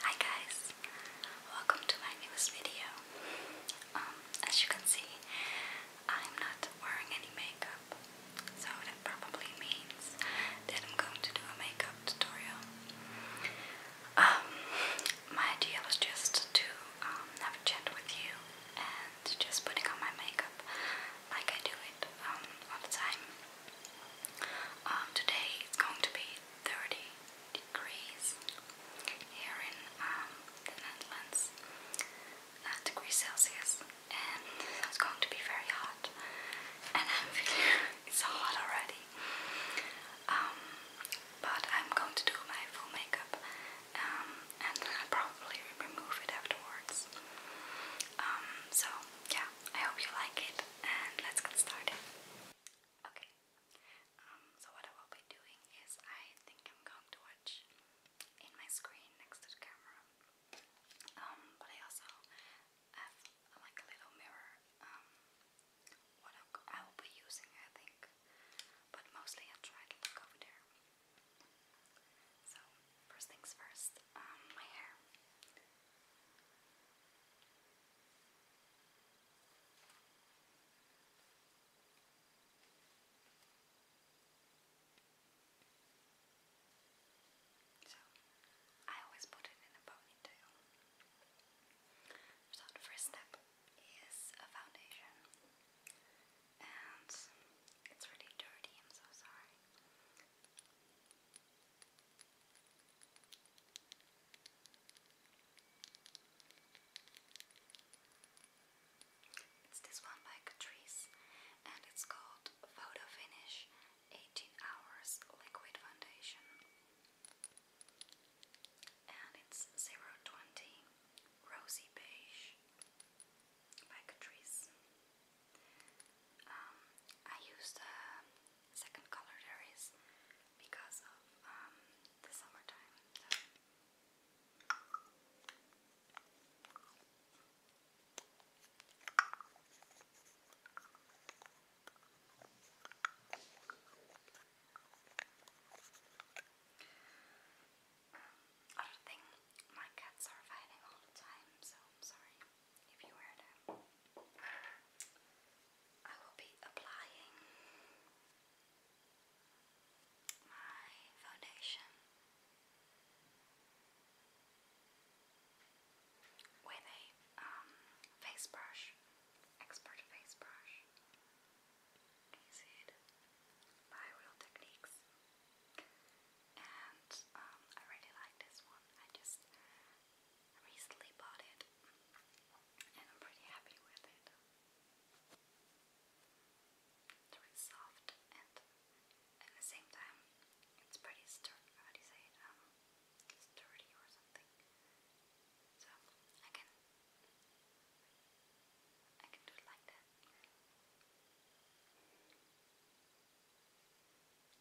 Hi guys, welcome to my newest video. Um, as you can see, I'm not wearing any makeup, so that probably means that I'm going to do a makeup tutorial. Um, my idea was just to um, have a chat with you and just putting on my makeup like I do it all the time. today it's going to be 30 degrees here in um, the Netherlands degrees Celsius and it's going to be very hot and it's hot already um, but I'm going to do my full makeup um, and I'll probably remove it afterwards so yeah I hope you like it and let's get started Okay, um, so what I will be doing is I think I'm going to watch in my screen next to the camera. Um, but I also have like a little mirror. Um, what I will be using, I think, but mostly I try to look over there. So first things first, um, my hair. So, I always put it in a ponytail. So, the first step is a foundation, and it's really dirty, I'm so sorry. It's this one by Catrice and it's called Photo Finish 18 Hours Liquid Foundation. And it's 020 Rosy Beige by Catrice. Um, I used a second color there is because of um, the summertime. So. Um, other thing, my cats are fighting all the time, so I'm sorry if you were to. I will be applying my foundation with a um, face brush, expert face brush. By Real Techniques. And um, I really like this one. I just recently bought it and I'm pretty happy with it. It's soft and at the same time it's pretty sturdy, how do you say it, um, sturdy or something. So I can, I can do it like that.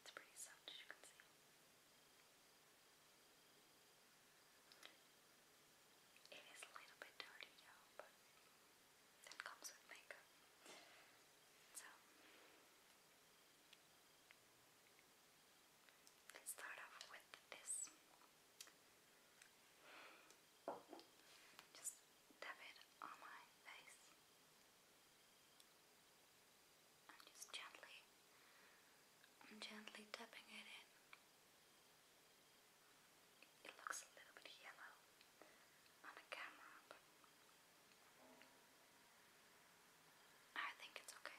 It's pretty soft as you can see. It is a little bit dirty, yeah, but that comes with makeup. So, let's start off with this. Just tap it on my face. I'm just gently, I'm gently tapping it in. It looks a little bit yellow on the camera, but I think it's okay.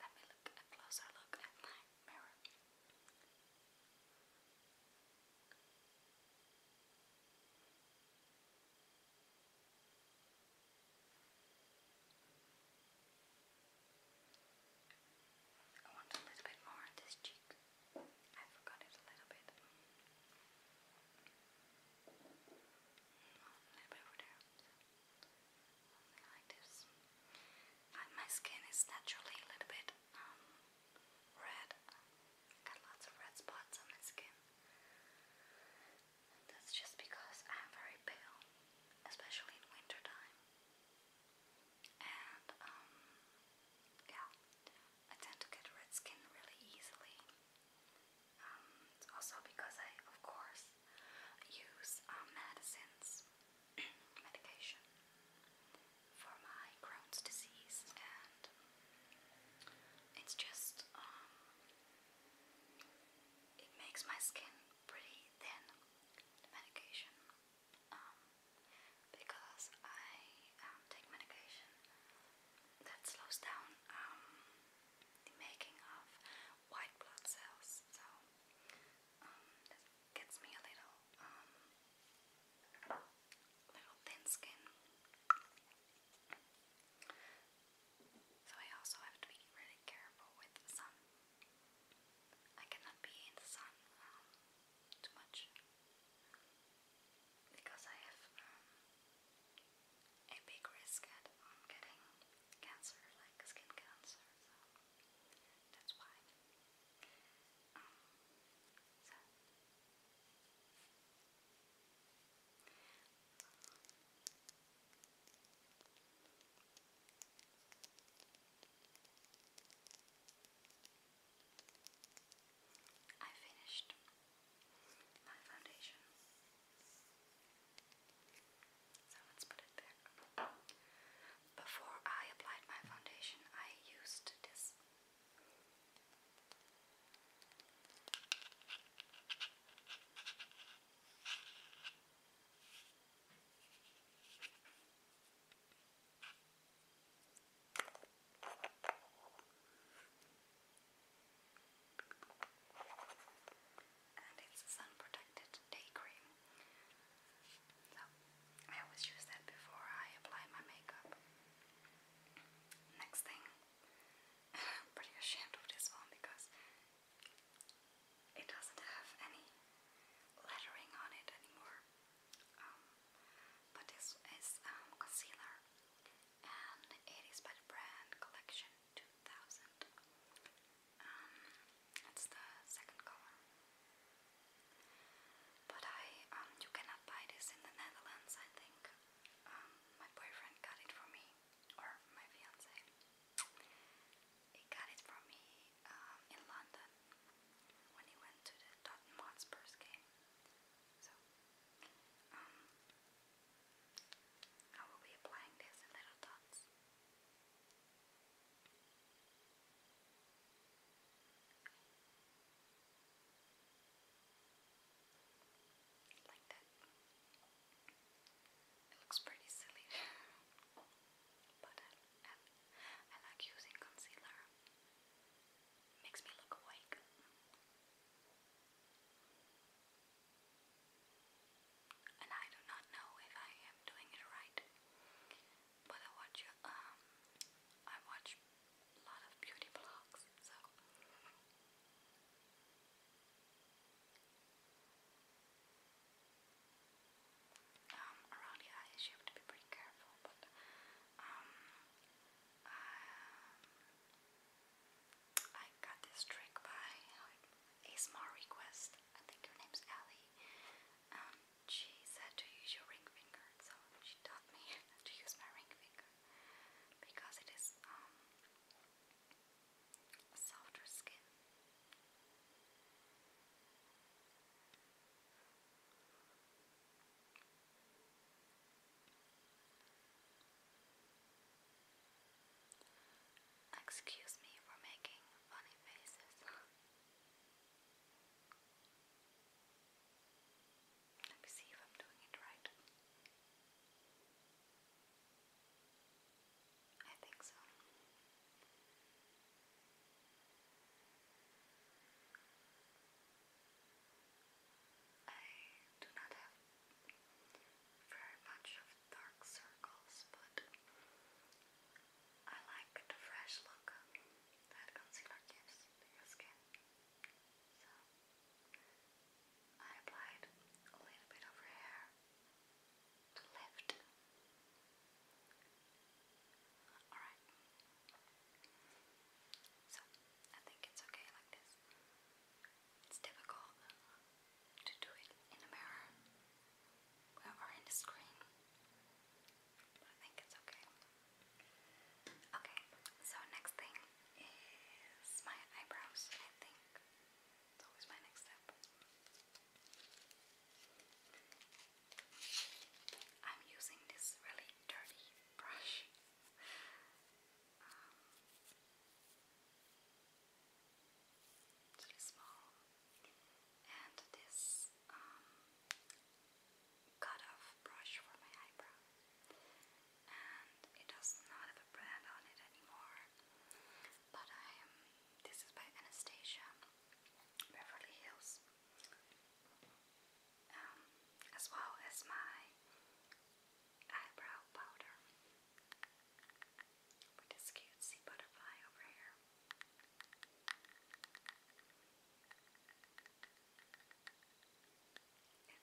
Let me look a closer look at my mirror. I want a little bit more on this cheek. I forgot it a little bit. Mm, a little bit over there. Something like this. my skin is naturally a little bit um, red. Got lots of red spots on my skin. That's just because I'm very pale, especially in winter And um, yeah, I tend to get red skin really easily. Um, it's also because I, of course, use um, medicines, medication for my Crohn's disease and it's just, um, it makes my skin pretty thin, medication. Um, because I um, take medication that slows down the making of white blood cells, so um, gets me a little, little thin skin. So I also have to be really careful with the sun. I cannot be in the sun um, too much because I have um, a big risk at um, getting cancer, like skin cancer. So that's why. I finished my foundation. So let's put it back. Before I applied my foundation, I used this and it's sun protected day cream. So I always use that before I apply my makeup. Next thing I'm pretty ashamed of this one because it doesn't have any lettering on it anymore. Um, but this is um, concealer and it is by the brand Collection 2000. Um, it's the second color. But I, you cannot buy this in the Netherlands, I think um, my boyfriend got it for me, or my fiance. He got it for me um, in London when he went to the Tottenham Hotspurs game. So, um, I will be applying this in little dots. Like that. It looks pretty silly. but I, like using concealer. Makes me look awake. And I do not know if I am doing it right. But I watch um, I watch a lot of beauty blogs, so um, around the eyes you have to be pretty careful, but um, um, I got this trick by a small request. I think her name's Ellie. she said to use your ring finger, so she taught me to use my ring finger because it is um, softer skin. Excuse me for making funny faces. Let me see if I'm doing it right. I think so. I do not have very much of dark circles, but I like the fresh look that concealer gives to skin. I applied a little bit of her to lift. Alright. So, I think it's okay like this. It's difficult to do it in a mirror or in the screen, but I think it's okay. Okay, so next thing is my eyebrows, I think. It's always my next step. I'm using this really dirty brush. Um, really small. And this um, cut-off brush for my eyebrows, and it does not have a brand on it anymore. But This is by Anastasia Beverly Hills, um, as well as my eyebrow powder with this cute butterfly over here.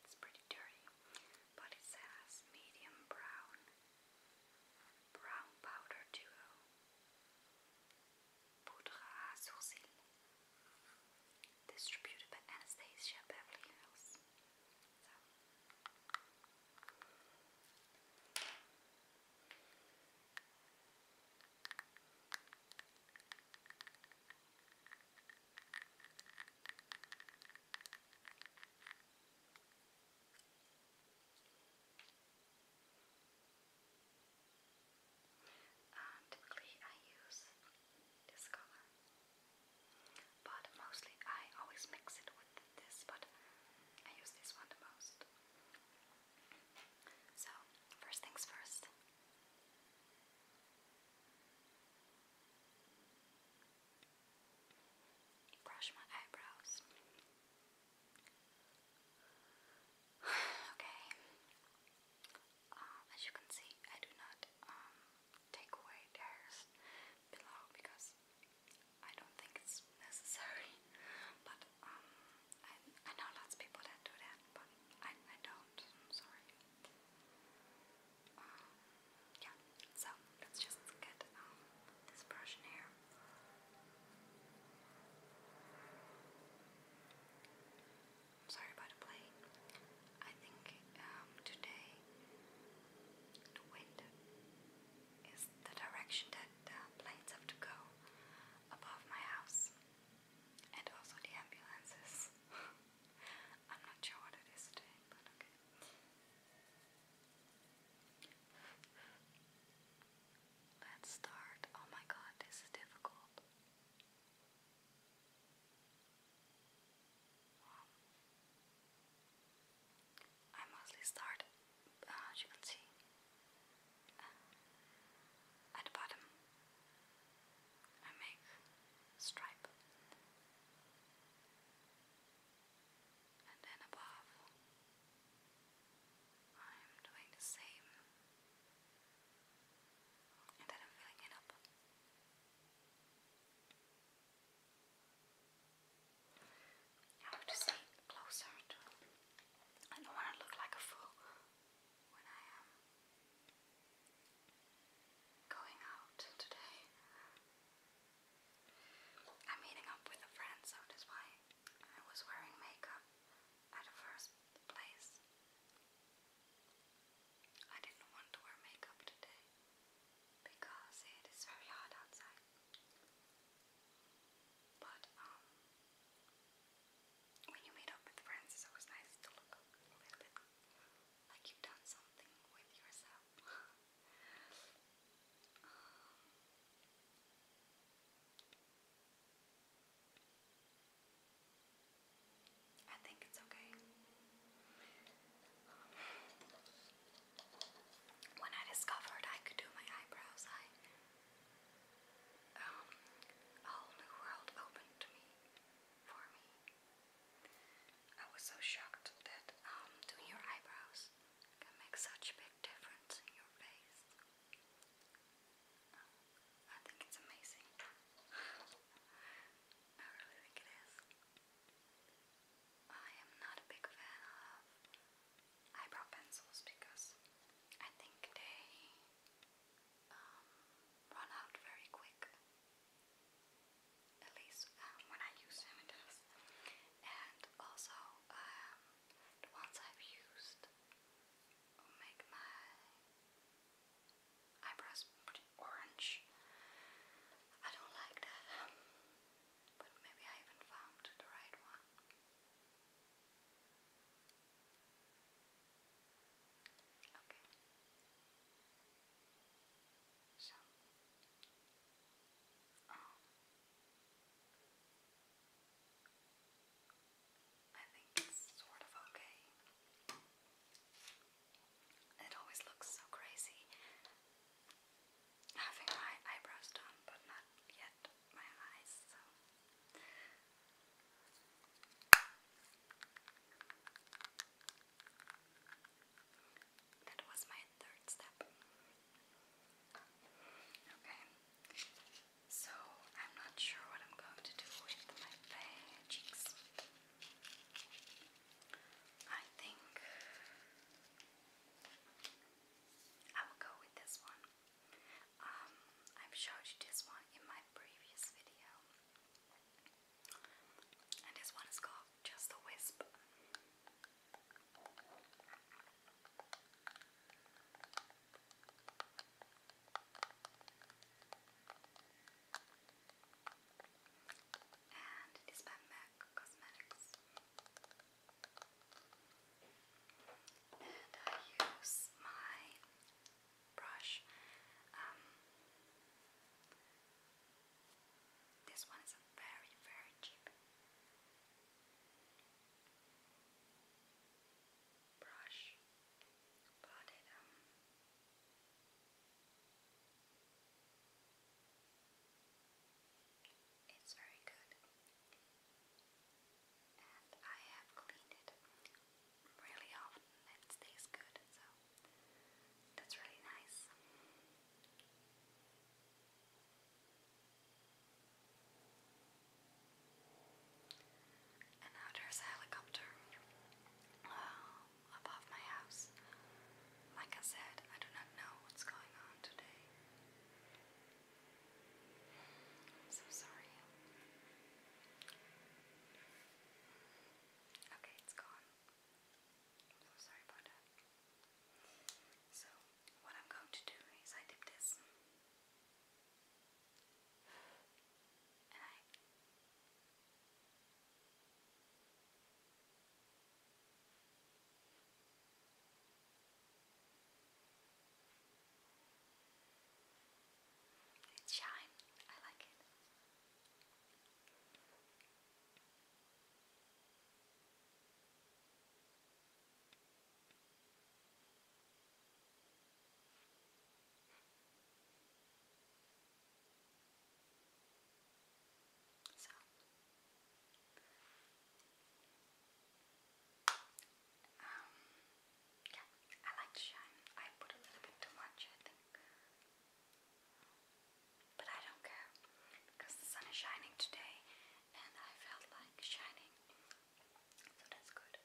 It's pretty dirty, but it says medium brown, brown powder duo, poudre à distributed by Anastasia Beverly Hills. Uh, typically, I use this color, but mostly I always mix it with this. But I use this one the most. So, first things first. Brush my eyebrows. okay. Um, as you can see, I do not um, take away hairs below because I don't think it's necessary. But um, I, know lots of people that do that, but I don't. I'm sorry yeah, so let's just get um, this brush here. sorry about the plane. I think um, today the wind is the direction that the planes have to go above my house, and also the ambulances. I'm not sure what it is Let's start. Oh my god, this is difficult. I mostly start, uh, as you can see, at the bottom. I make stripe and then above I'm doing the same and then I'm filling it up I want to see closer I don't want to look like a fool when I am going out today. I'm meeting up with a so that's why I was wearing makeup at first place. I didn't want to wear makeup today because it is very hot outside. But um, when you meet up with friends, it's always nice to look a little bit like you've done something with yourself. Um, I think it's okay. when I discovered I could do my eyebrows, um, a whole new world opened to me for me. I was so shocked that um, doing your eyebrows can make such a big difference in your face. I think it's amazing. I really think it is. I am not a big fan of eyebrow pencils because I think they um, run out very quick. At least um, when I use them, it does. And also, um, I've used will make my eyebrows orange. I don't like that, but maybe I haven't found the right one. Okay. So, I think it's sort of okay. It always looks so crazy having my eyebrows done, but not yet my eyes, so that was my third step. Okay. So I'm not sure what I'm going to do with my cheeks. I think I will go with this one. Um, I've showed you this one in my previous video. And this one is called Just a Wisp. And it is by MAC Cosmetics. And I use my brush. Um, this one is very, very cheap brush, um. It's very good, and I have cleaned it really often it stays good, so that's really nice. And now there's a helicopter uh, above my house. Like I said, I do not know what's going on today. am so sorry. Okay, it's gone. I'm so sorry about that. So, what I'm going to do is I dip this and I it's shine. I like it. So um yeah, I like to shine. I put a little bit too much, I think. But I don't care because the sun is shining today and I felt like shining. So that's good.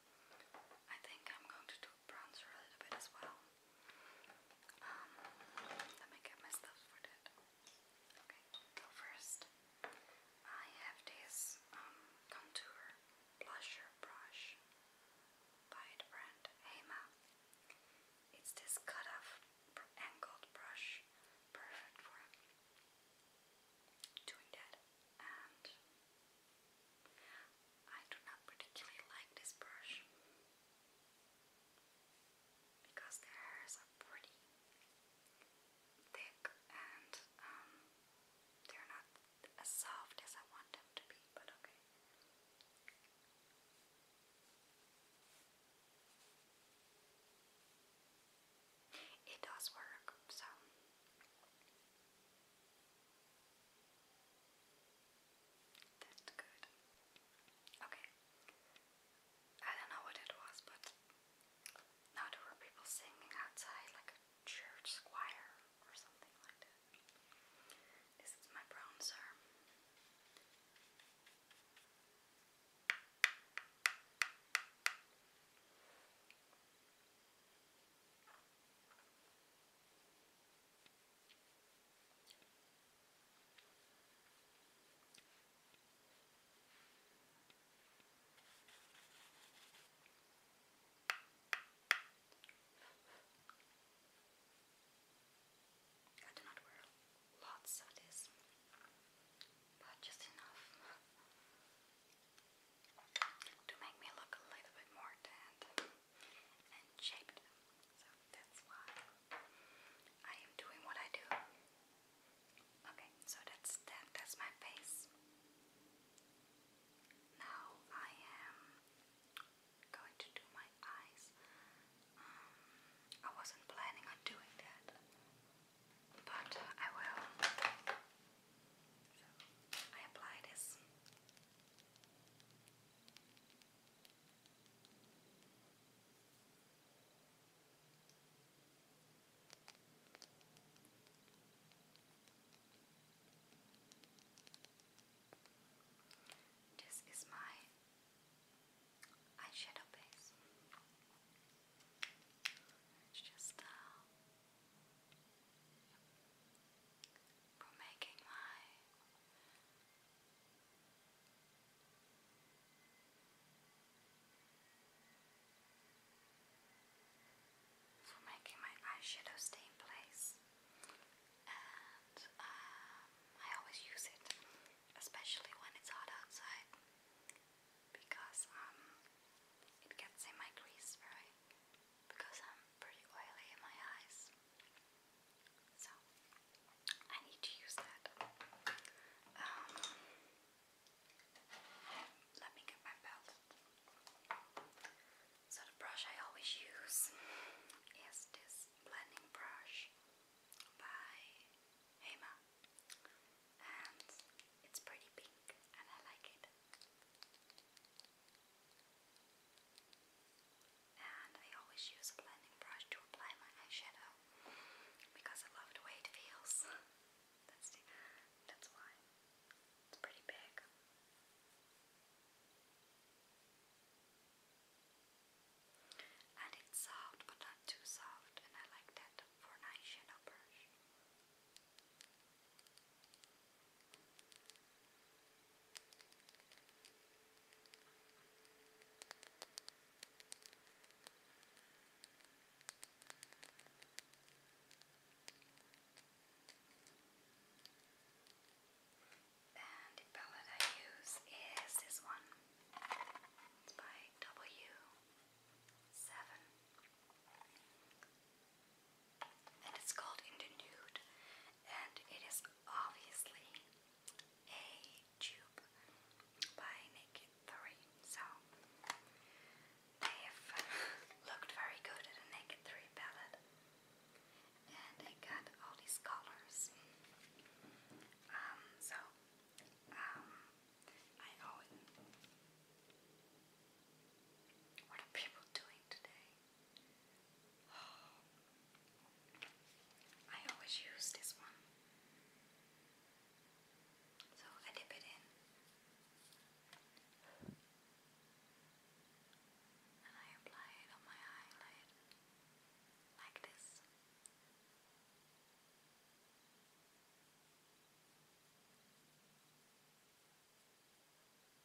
I think I'm going to do bronzer a little bit as well. Um, let me get my stuff for that. Okay, so first I have this um, contour blusher brush by the brand Hema. It's this cut-off angled brush, perfect for doing that. And I do not particularly like this brush because the hairs are pretty thick and um, they're not as soft as I want them to be, but okay. It does work, so. That's good. Okay. I don't know what it was, but now there were people singing outside, like church squire or something like that. This is my bronzer. I I do not wear lots of this, but just enough to make me look a little bit more tanned and shaped. So that's why I am doing what I do. Okay, so that's that. That's my face. Now I am going to do my eyes. Um, I wasn't planning on doing that, but I will. I apply this. This is my eyeshadow base. It's just uh, for making my for making my eyeshadow stay in place. And um, I always use it, especially when it's hot outside, because um, it gets in my crease very. Because I'm pretty oily in my eyes, so I need to use that. Um, let me get my belt. So the brush I always use is this blending brush by Hema and it's pretty pink and I like it. And I always use a blending brush to apply my eyeshadow because I love the way it feels. That's that's why. It's pretty big. And it's soft, but not too soft, and I like that for an eyeshadow brush. And the palette I use is this one. It's by W7. And it's called In the Nude. And it is obviously a tube by Naked 3. So they have looked very good at a Naked 3 palette. And they got all these colors. Um, so, um, I always. What are people doing today? I always use this one. So I dip it in and I apply it on my eyelid like this.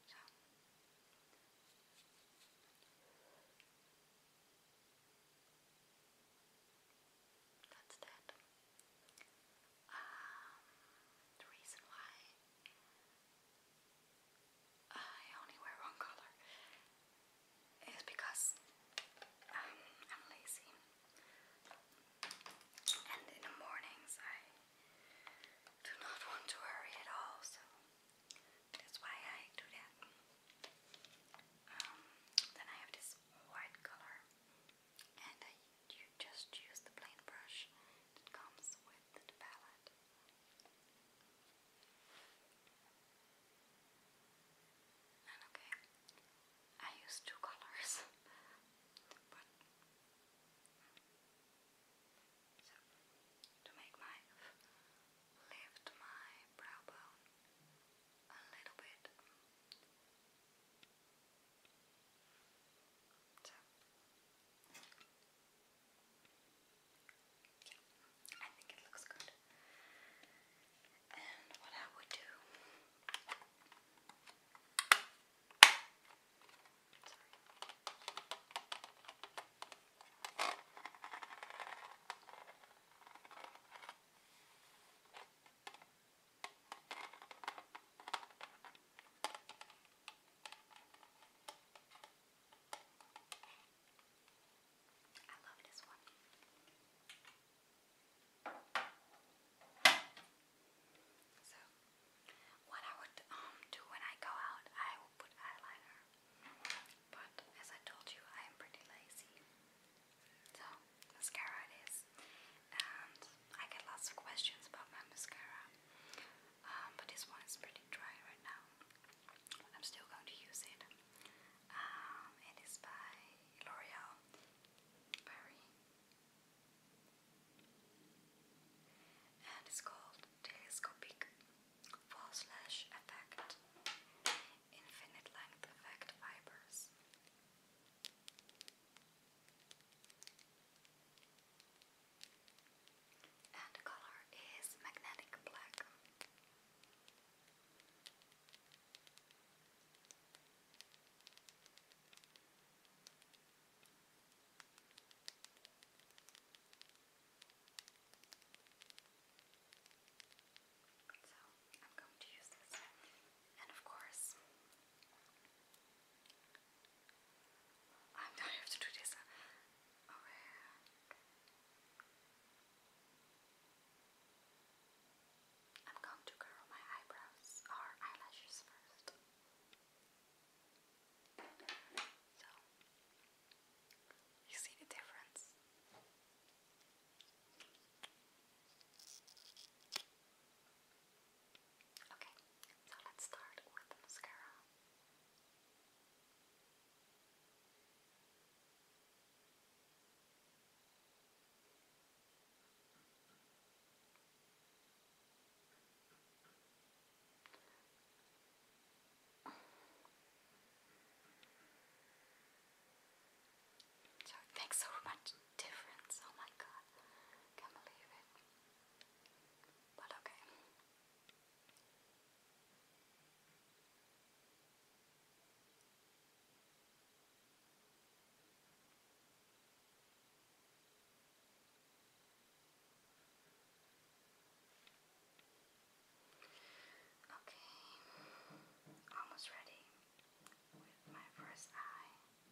So. That's that. Um, the reason why I only wear one color. It's because um, I'm lazy, and in the mornings I do not want to hurry at all, so that's why I do that. Um, then I have this white color, and I you just use the plain brush that comes with the palette. okay, I use two colors, but to make my lift my brow bone a little bit so. Yeah, I think it looks good. And what I would do. I love this one. So, what I would um, do when I go out, I will put eyeliner. But as I told you, I am pretty lazy. So, mascara it is and I get lots of questions about my mascara, um, but this one is pretty dry right now. I'm still going to use it. Um, it is by L'Oreal Paris, and it's called Telescopic False Lash Effect Infinite Length Effect Fibers and color is magnetic black. So I'm going to use this, and of course, I'm not have to do this. Uh, I'm going to curl my eyebrows or eyelashes first. So, you see the difference? Okay, so let's start with mascara. So makes so much difference. Oh my god, can't believe it. But okay. Okay, almost ready with my first eye. So,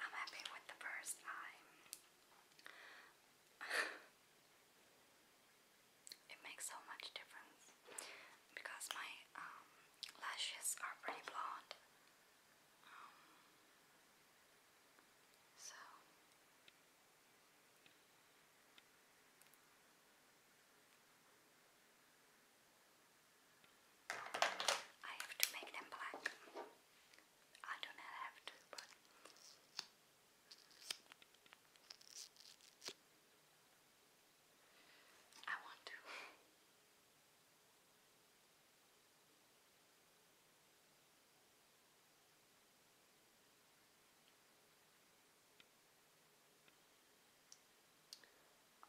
I'm happy with the first eye. it makes so much difference because my um, lashes are pretty blonde. Um, so. I have to make them black. I do not have to, but. I want to.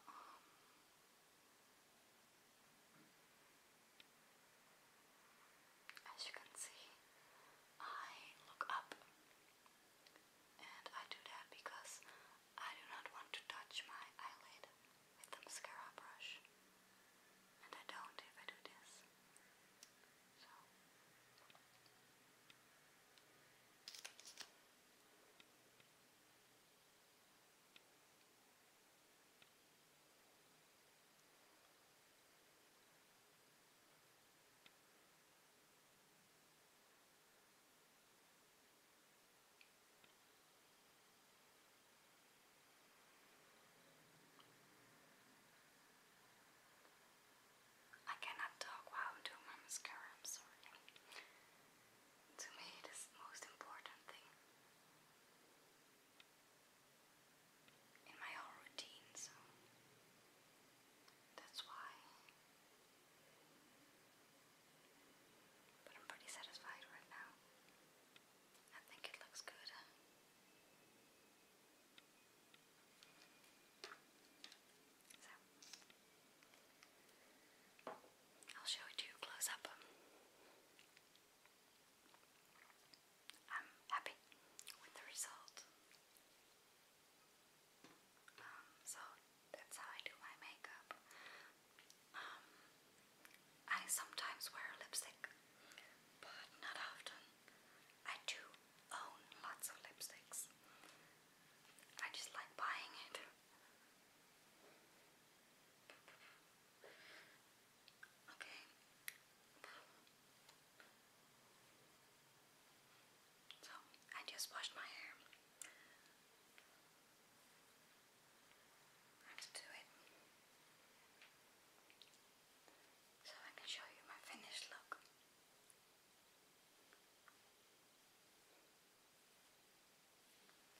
Um, as you can see, I look up and I do that because I do not want to touch my eyelid with the mascara brush, and I don't if do this. So. I cannot talk while I'm doing my mascara, I'm sorry. To me, it is the most important thing in my whole routine, so that's why but I'm pretty satisfied right now. I think it looks good. So, I'll show it to you close up. I'm happy with the result so that's how I do my makeup. Um, I sometimes wear lipstick, but not often. I do own lots of lipsticks. I just like buying it. Okay. So, I just washed my hair. I have do it so I can show you my finished look.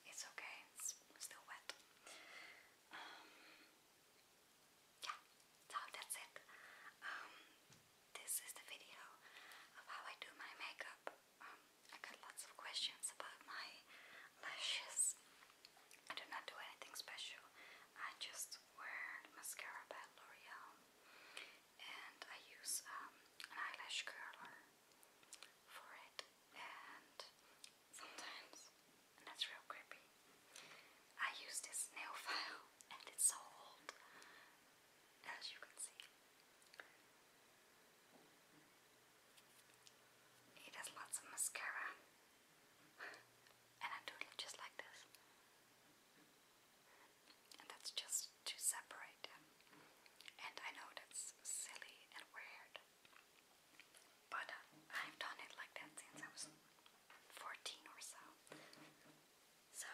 It's okay, it's still wet. Um, yeah, so that's it. Um, this is the video of how I do my makeup. Um, I got lots of questions about my lashes. I do not do anything special. I just wear mascara by L'Oreal and I use um, an eyelash curler for it and sometimes, and that's real creepy, I use this nail file and it's so old as you can see. It has lots of mascara, and I do it just like this. And that's just to separate And I know that's silly and weird, but I've done it like that since I was 14 or so. So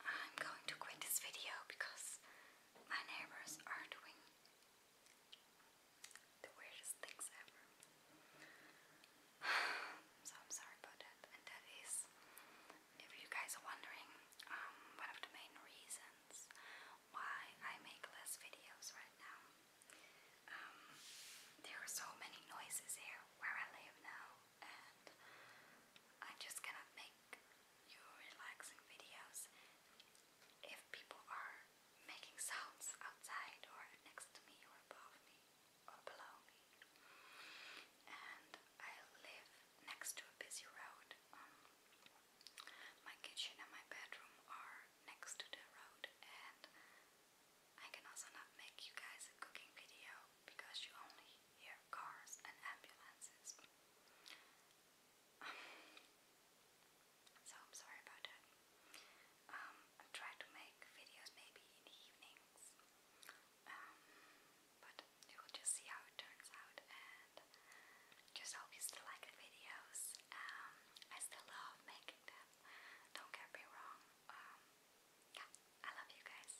I'm going to quit this video because my neighbors are doing the weirdest things ever. so I'm sorry about that. And that is, if you guys are wondering, um, one of the main reasons why I make less videos right now. Um, there are so many noises here where I live now, and I just cannot make your relaxing videos. If people are making sounds outside or next to me or above me or below me. And I live next to a busy road. Um, my kitchen and my bedroom are next to the road and I can also not make you guys a cooking video because you only hear cars and ambulances. so I'm sorry about that. Um, I try to make videos maybe in the evenings, um, but you will just see how it turns out. And just hope you still like the videos. Um, I still love making them. Don't get me wrong. yeah, I love you guys.